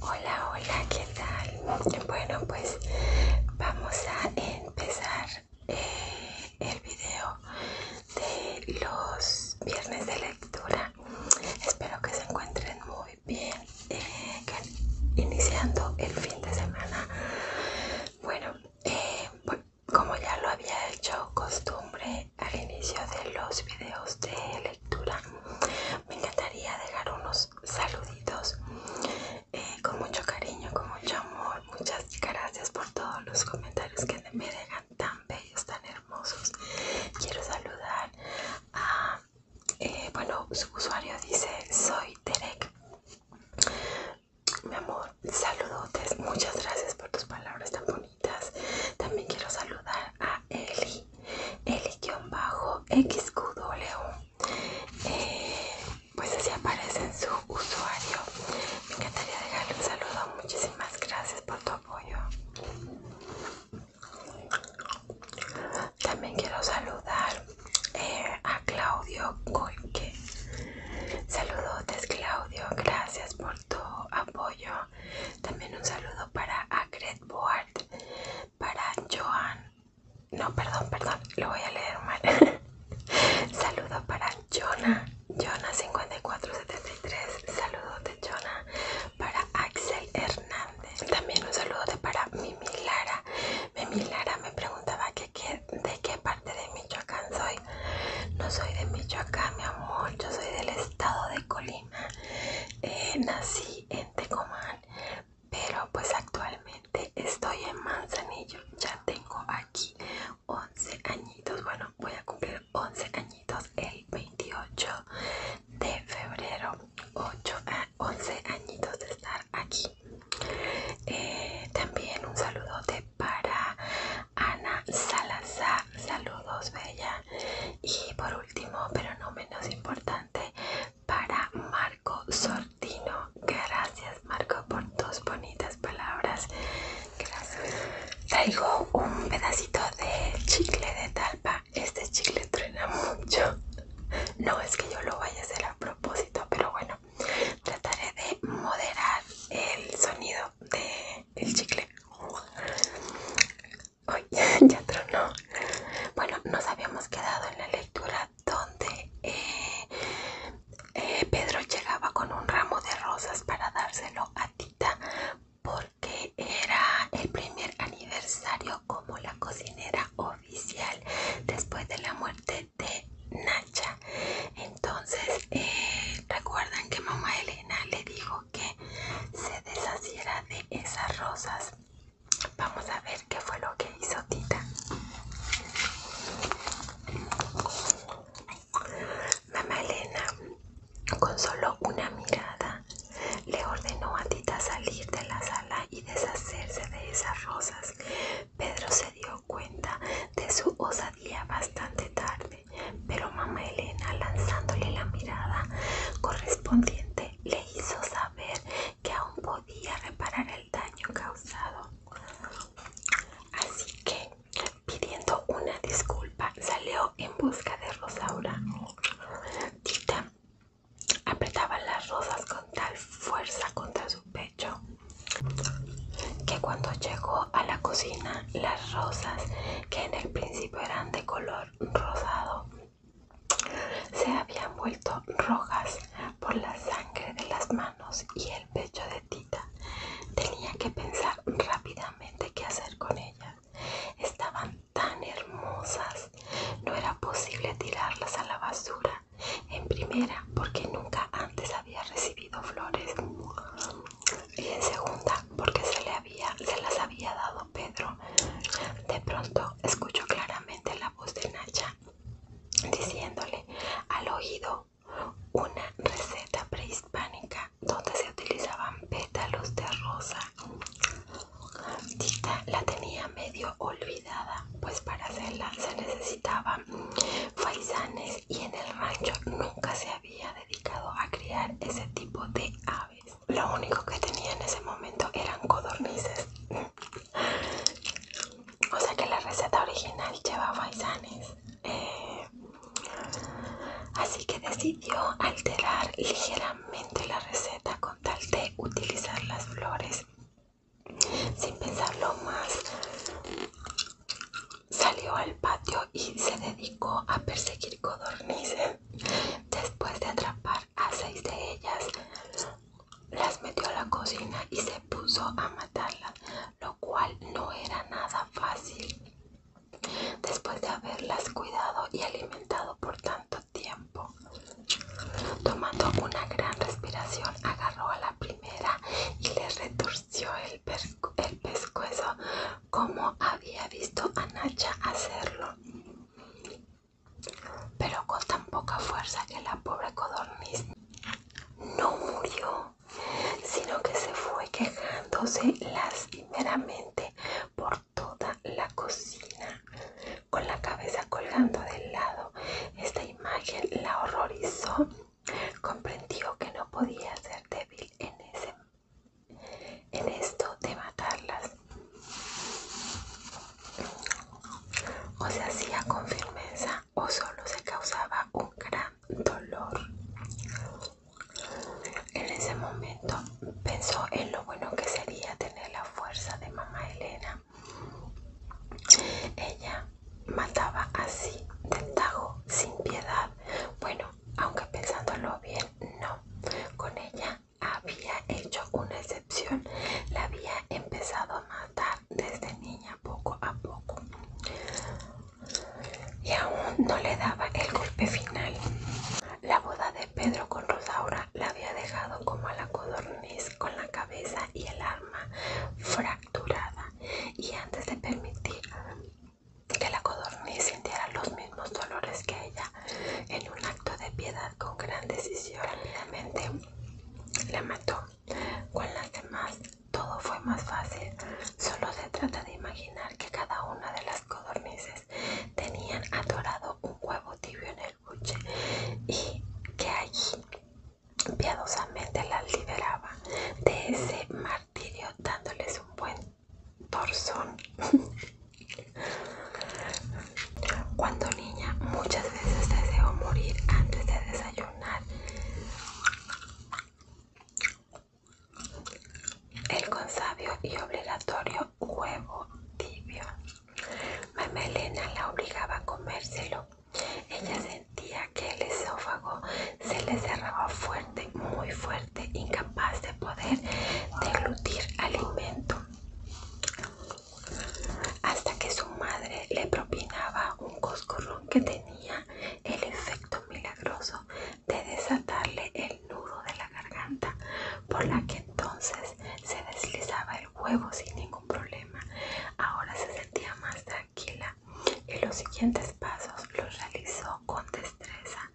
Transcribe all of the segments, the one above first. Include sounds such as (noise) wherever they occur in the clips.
Hola, hola, ¿qué tal? Bueno, pues vamos a empezar eh, el video de los viernes de lectura. Espero que se encuentren muy bien eh, iniciando el fin de semana. Bueno, eh, como ya lo había hecho costumbre al inicio de los videos de lectura, me encantaría dejar unos saluditos eh, con mucho cariño, con mucho amor. Muchas gracias por todos los comentarios que me dejan tan bellos, tan hermosos. Quiero saludar a, eh, bueno, su usuario dice, soy Terek. Mi amor, saludotes. Muchas gracias por tus palabras tan bonitas. También quiero saludar a Eli. eli xq Eh, pues así aparece en su usuario. Me encantaría dejarle un saludo. Muchísimas gracias por tu apoyo. También quiero saludar eh, a Claudio Saludotes Claudio, gracias por tu apoyo. También un saludo para Acred Board, para Joan. No, perdón, perdón, lo voy a leer mal. (laughs) saludo para Jonah, Jonah5473. de Jonah. Para Axel Hernández. También un saludo para Mimi Lara. Mimi Lara me preguntaba de qué parte de Michoacán soy. No soy de Michoacán, mi amor, yo soy del estado de Colima. Eh, nací en Tecomán, pero pues actualmente estoy en Manzanillo. Ya tengo aquí 11 añitos, bueno, voy a cumplir 11 añitos el 28 de febrero. a ah, 11 añitos de estar aquí. Eh, también un saludote para Ana Salazar, saludos bella. Y por último, pero no menos importante, para Marco Sortino. Gracias Marco por tus bonitas palabras. Gracias. Traigo un pedacito de chicle de talpa. Este chicle truena mucho. No es que yo lo vaya a hacer a propósito, pero bueno, trataré de moderar el sonido del chicle. (laughs) ya tronó. Bueno, nos habíamos quedado en la lectura donde eh, eh, Pedro llegaba con un ramo de rosas para dárselo a Tita porque era el primer aniversario como la cocinera oficial después de la muerte de Nacha. Entonces, eh, recuerdan que mamá Elena le dijo que se deshaciera de esas rosas. Vamos a ver qué fue lo que hizo Tita. Mamá Elena, con solo una mirada, le ordenó a Tita salir de la sala y deshacerse de esas rosas. Pedro se dio cuenta de su osadía bastante tarde pero mamá Elena, lanzándole la mirada correspondiente, le hizo saber que aún podía reparar el daño causado. Así que, pidiendo una disculpa, salió en busca de Rosaura. Tita apretaba las rosas con tal fuerza contra su pecho que cuando llegó a la cocina las rosas que en el principio eran de color rosado se habían vuelto rojas por la sangre de las manos y el pecho de Tita. Tenía que pensar rápidamente qué hacer con ellas. Estaban tan hermosas. No era posible tirarlas a la basura. En primera, porque nunca antes había recibido flores y en segunda porque se, le había, se las había dado Pedro. De pronto escuchó claramente la voz de Nacha diciéndole al oído una receta prehispánica donde se utilizaban pétalos de rosa. Tita la tenía medio olvidada, pues para hacerla se necesitaban faisanes y en el rancho nunca se había dedicado a criar ese tipo de aves. Lo único que tenía en ese momento eran codornices. (laughs) O sea que la receta original llevaba. paisanes. Eh, así que decidió alterar ligeramente la receta con tal de utilizar las flores sin pensarlo más Salió al patio y se dedicó a perseguir codornices. Después de atrapar a seis de ellas, las metió a la cocina y se puso a matarlas, lo cual no era nada fácil. Después de haberlas cuidado y alimentado por tanto tiempo, tomando una gran respiración, agarró a la primera y le retorció el, pescuezo como había visto a Nacha hacerlo, pero con tan poca fuerza que la pobre codorniz no murió, sino que se fue quejándose lastimeramente por toda la cocina, con la cabeza colgando del lado. Esta imagen la horrorizó Comprendió que no podía ser débil en, ese, en esto de matarlas. O se hacía con firmeza o solo se causaba un gran dolor. En ese momento pensó en lo bueno que sería tener la fuerza de mamá Elena. Ella mataba así del tajo sin piedad. Bueno, aunque pensándolo bien, no. Con ella había hecho una excepción. La había empezado a matar desde niña poco a poco. Y aún no le daba el golpe final. La boda de Pedro con Rosaura la había dejado como a la codorniz con la cabeza y el arma fracturada. Y antes de permitir que la codorniz sintiera los mismos dolores que ella. En un acto de piedad con gran decisión, rápidamente la mató. Con las demás todo fue más fácil. Solo se trata de imaginar que cada una de las codornices tenían atorado un huevo tibio en el buche y que allí piadosamente las liberaba de ese mal dándoles un buen torzón. Cuando niña muchas veces deseo morir antes de desayunar. El consabio y obligatorio huevo tibio. Mamá Elena la obligaba a comérselo. Ella se que el esófago se le cerraba fuerte, muy fuerte, incapaz de poder deglutir alimento. Hasta que su madre le propinaba un coscorrón que tenía el efecto milagroso de desatarle el nudo de la garganta, por la que entonces se deslizaba el huevo sin ningún problema. Ahora se sentía más y los siguientes pasos los realizó con destreza.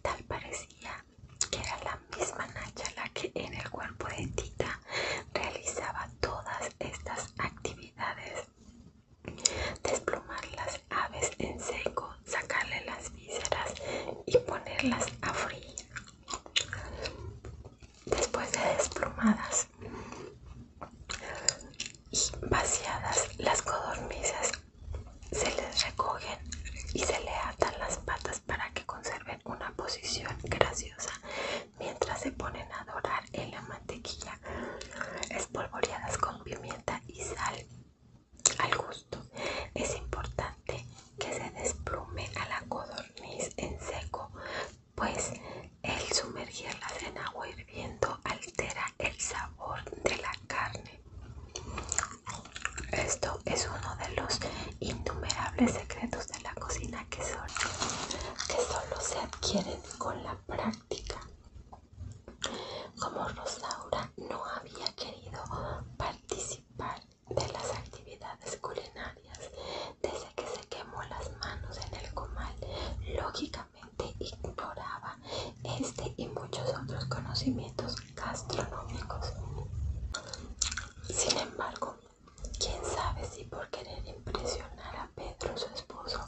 Tal parecía que era la misma Nacha la que en el cuerpo de Tita realizaba todas estas actividades. Desplumar las aves en seco, sacarle las vísceras y ponerlas a frío Después de desplumadas, y vaciadas las codornices se les recogen y se le atan las patas para que conserven una posición graciosa mientras se ponen a dorar en la mantequilla espolvoreadas con pimienta y sal al gusto. Es importante que se desplume a la codorniz en seco, pues el sumergir la en agua hirviendo altera el sabor de la carne. Esto es uno de los innumerables secretos de la cocina que solo, se adquieren con la práctica. Como Rosaura no había querido participar de las actividades culinarias desde que se quemó las manos en el comal, lógicamente ignoraba este y muchos otros conocimientos gastronómicos. Sin embargo, quién sabe si por querer impresionar a Pedro, su esposo,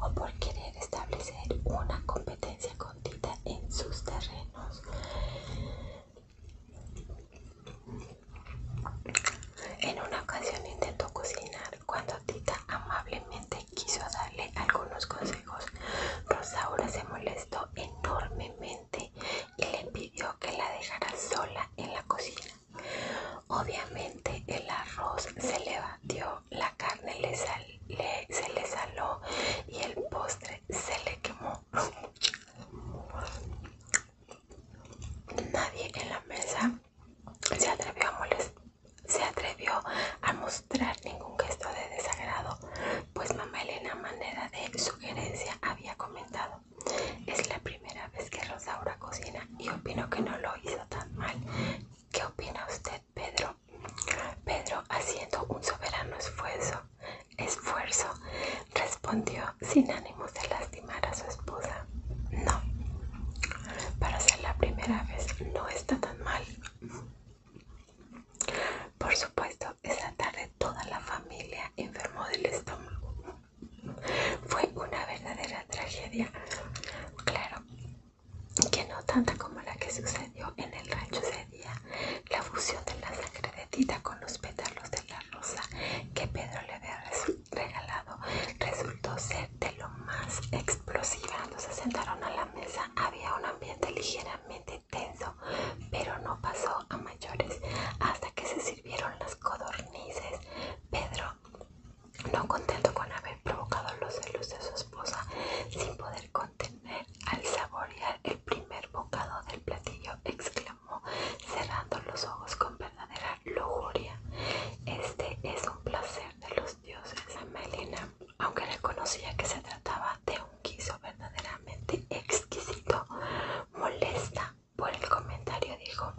o por querer establecer una competencia con Tita en sus terrenos, en una ocasión intentó cocinar cuando Tita amablemente quiso darle algunos consejos. Rosaura pues se molestó enormemente y le pidió que la dejara sola en la cocina. Obviamente el arroz se le batió, la carne se le saló y el postre se le quemó. (laughs) Nadie en la mesa se atrevió a mostrar ningún gesto de desagrado, pues mamá Elena manera de sugerencia había comentado. Es la primera vez que Rosaura cocina y opino que no lo hizo tan mal. ¿Qué opina usted, Pedro? Pedro, haciendo un soberano esfuerzo, esfuerzo, respondió sin ánimos de lastimar a su esposa. No, para ser la primera vez no está tan mal. Por supuesto, esa tarde toda la familia enfermó del estómago. Fue una verdadera tragedia. Claro que no tanta como la que sucedió en el rancho ese día. La fusión de la sangre de Tita con los pétalos de la rosa que Pedro le había regalado eh, de lo más explosiva. Cuando se sentaron a la mesa había un ambiente ligeramente tenso, pero no pasó a mayores. Hasta que se sirvieron las codornices, Pedro, no contento con haber provocado los celos de su esposa, sin poder contener al saborear el primer bocado del platillo, exclamó, cerrando los ojos con verdadera lujuria. Este es un placer de los dioses. a Melina, aunque reconocía que se trataba de un guiso verdaderamente exquisito, molesta por el comentario dijo,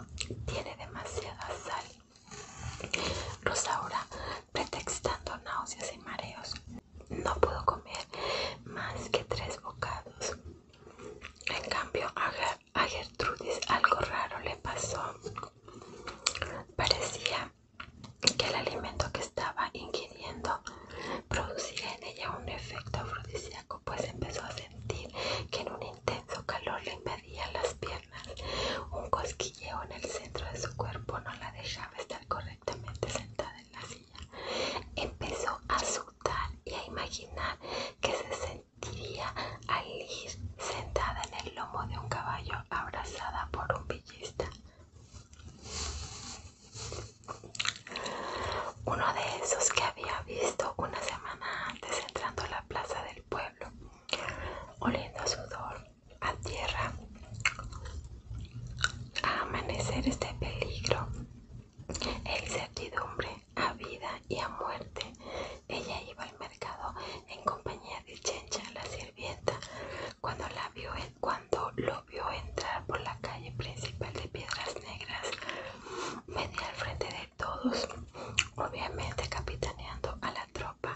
tiene demasiada sal. Rosaura, pretextando náuseas y mareos, no pudo comer más que tres bocados. En cambio, a Gertrudis algo raro le pasó. Parecía que el alimento que estaba ingiriendo producía en ella un efecto afrodisíaco, pues empezó a sentir que en un intenso calor le invadían las piernas. Un cosquilleo en el centro de su cuerpo no la dejaba estar correctamente sentada en la silla. Empezó a sudar y a imaginar que se sentiría al ir sentada el lomo de un caballo abrazada por un villista. Uno de esos que había visto una semana antes entrando a la plaza del pueblo, oliendo sudor, a tierra, a amanecer este peligro, el certidumbre, a vida y a muerte. Ella iba al mercado en compañía de Chencha, la sirvienta, cuando, la vio, cuando lo vio entrar por la calle principal de Piedras Negras. Venía al frente de todos, obviamente capitaneando a la tropa.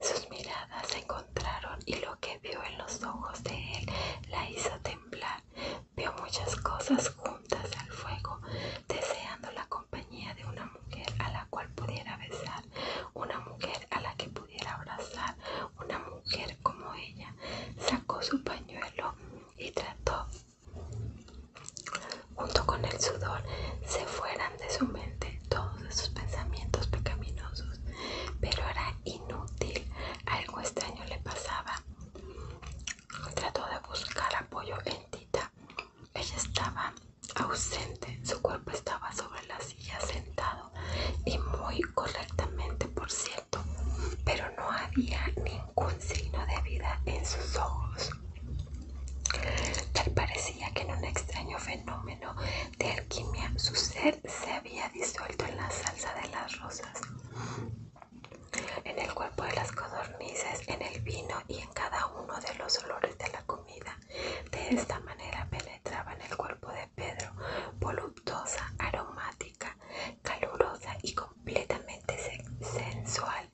Sus miradas se encontraron y lo que vio en los ojos de él la hizo temblar. Vio muchas cosas juntas al fuego, deseando la de una mujer a la cual pudiera besar, una mujer a la que pudiera abrazar, una mujer como ella. Sacó su pañuelo y trató, junto con el sudor, se fueran de su mente todos esos pensamientos pecaminosos, pero era inútil, algo extraño le pasaba. Trató de buscar apoyo en Tita. Ella estaba ausente, su cuerpo estaba sobre la silla sentado y muy correctamente, por cierto, pero no había ningún signo de vida en sus ojos. Tal parecía que en un extraño fenómeno de alquimia su ser se había disuelto en la salsa de las rosas, en el cuerpo de las codornices, en el vino y en cada uno de los olores de la comida. De esta manera penetraba en el cuerpo de Pedro, voluptuosa, aromática, calurosa y completamente sensual.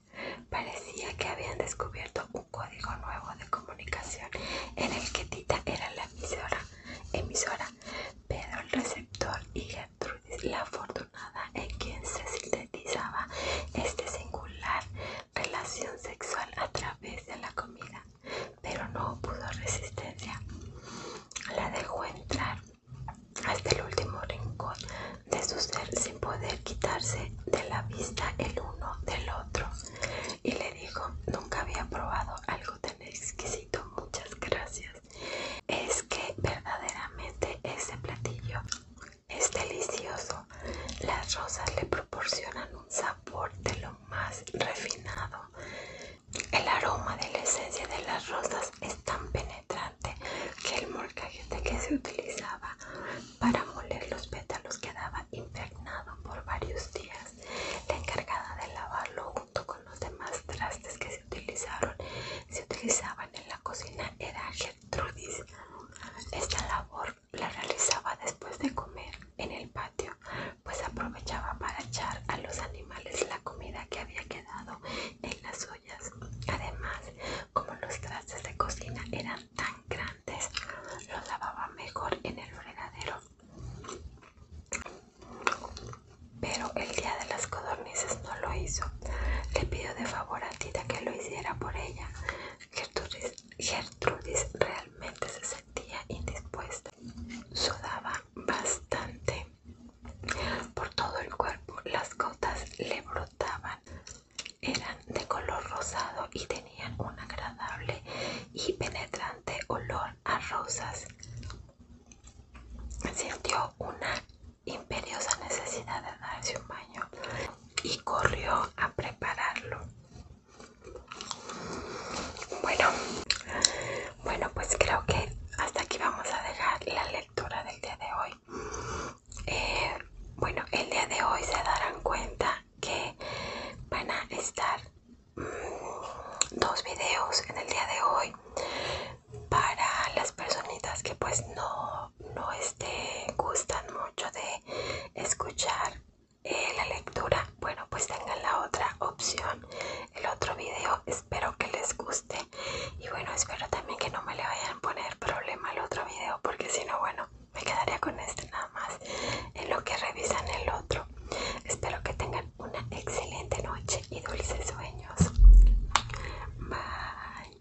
Parecía que habían descubierto un código nuevo de comunicación en el que Tita era la emisora, emisora Pedro el receptor y Gertrudis la afortunada en quien se sintetizaba este singular relación sexual a través de la comida, pero no pudo resistencia. La dejó entrar hasta el último rincón de su ser sin poder quitarse de la vista el uno del otro y le dijo, nunca había probado algo tan exquisito, muchas gracias. Es que verdaderamente ese platillo es delicioso. Las rosas le proporcionan sabor de lo más refinado. El aroma de la esencia de las rosas es tan penetrante que el molcajete que se utilizaba para moler los pétalos quedaba impregnado por varios días. La encargada de lavarlo junto con los demás trastes que se utilizaron se utilizaban en la cocina era Gertrudis. Esta labor la realizaba después de comer en el patio, pues aprovechaba para echar a los animales la comida que había quedado en las ollas. Además, como los trastes de cocina eran tan grandes, los lavaba mejor en el fregadero. Pero el día de las codornices no lo hizo. Le pidió de favor a Tita que lo hiciera por ella. Gertrudis, realmente se sentía indispuesta. Sudaba bastante por todo el cuerpo. Las gotas le brotaban. Eran de color rosado y tenían un agradable y penetrante olor a rosas. Sintió una imperiosa necesidad de darse un baño y corrió a prepararlo. Bueno, bueno, pues creo que hasta aquí vamos a dejar la lectura del día de hoy. Eh, bueno, el día de hoy se darán cuenta que van a estar mm, dos videos en el día de hoy para las personitas que pues no, no este, gustan mucho de escuchar eh, la lectura, bueno pues tengan la otra opción, el otro video, espero que les guste y bueno espero también que no me le vayan a poner problema al otro video porque si no bueno me quedaría con este nada más en lo que revisan el otro. Espero que tengan una excelente noche y dulces sueños. Bye.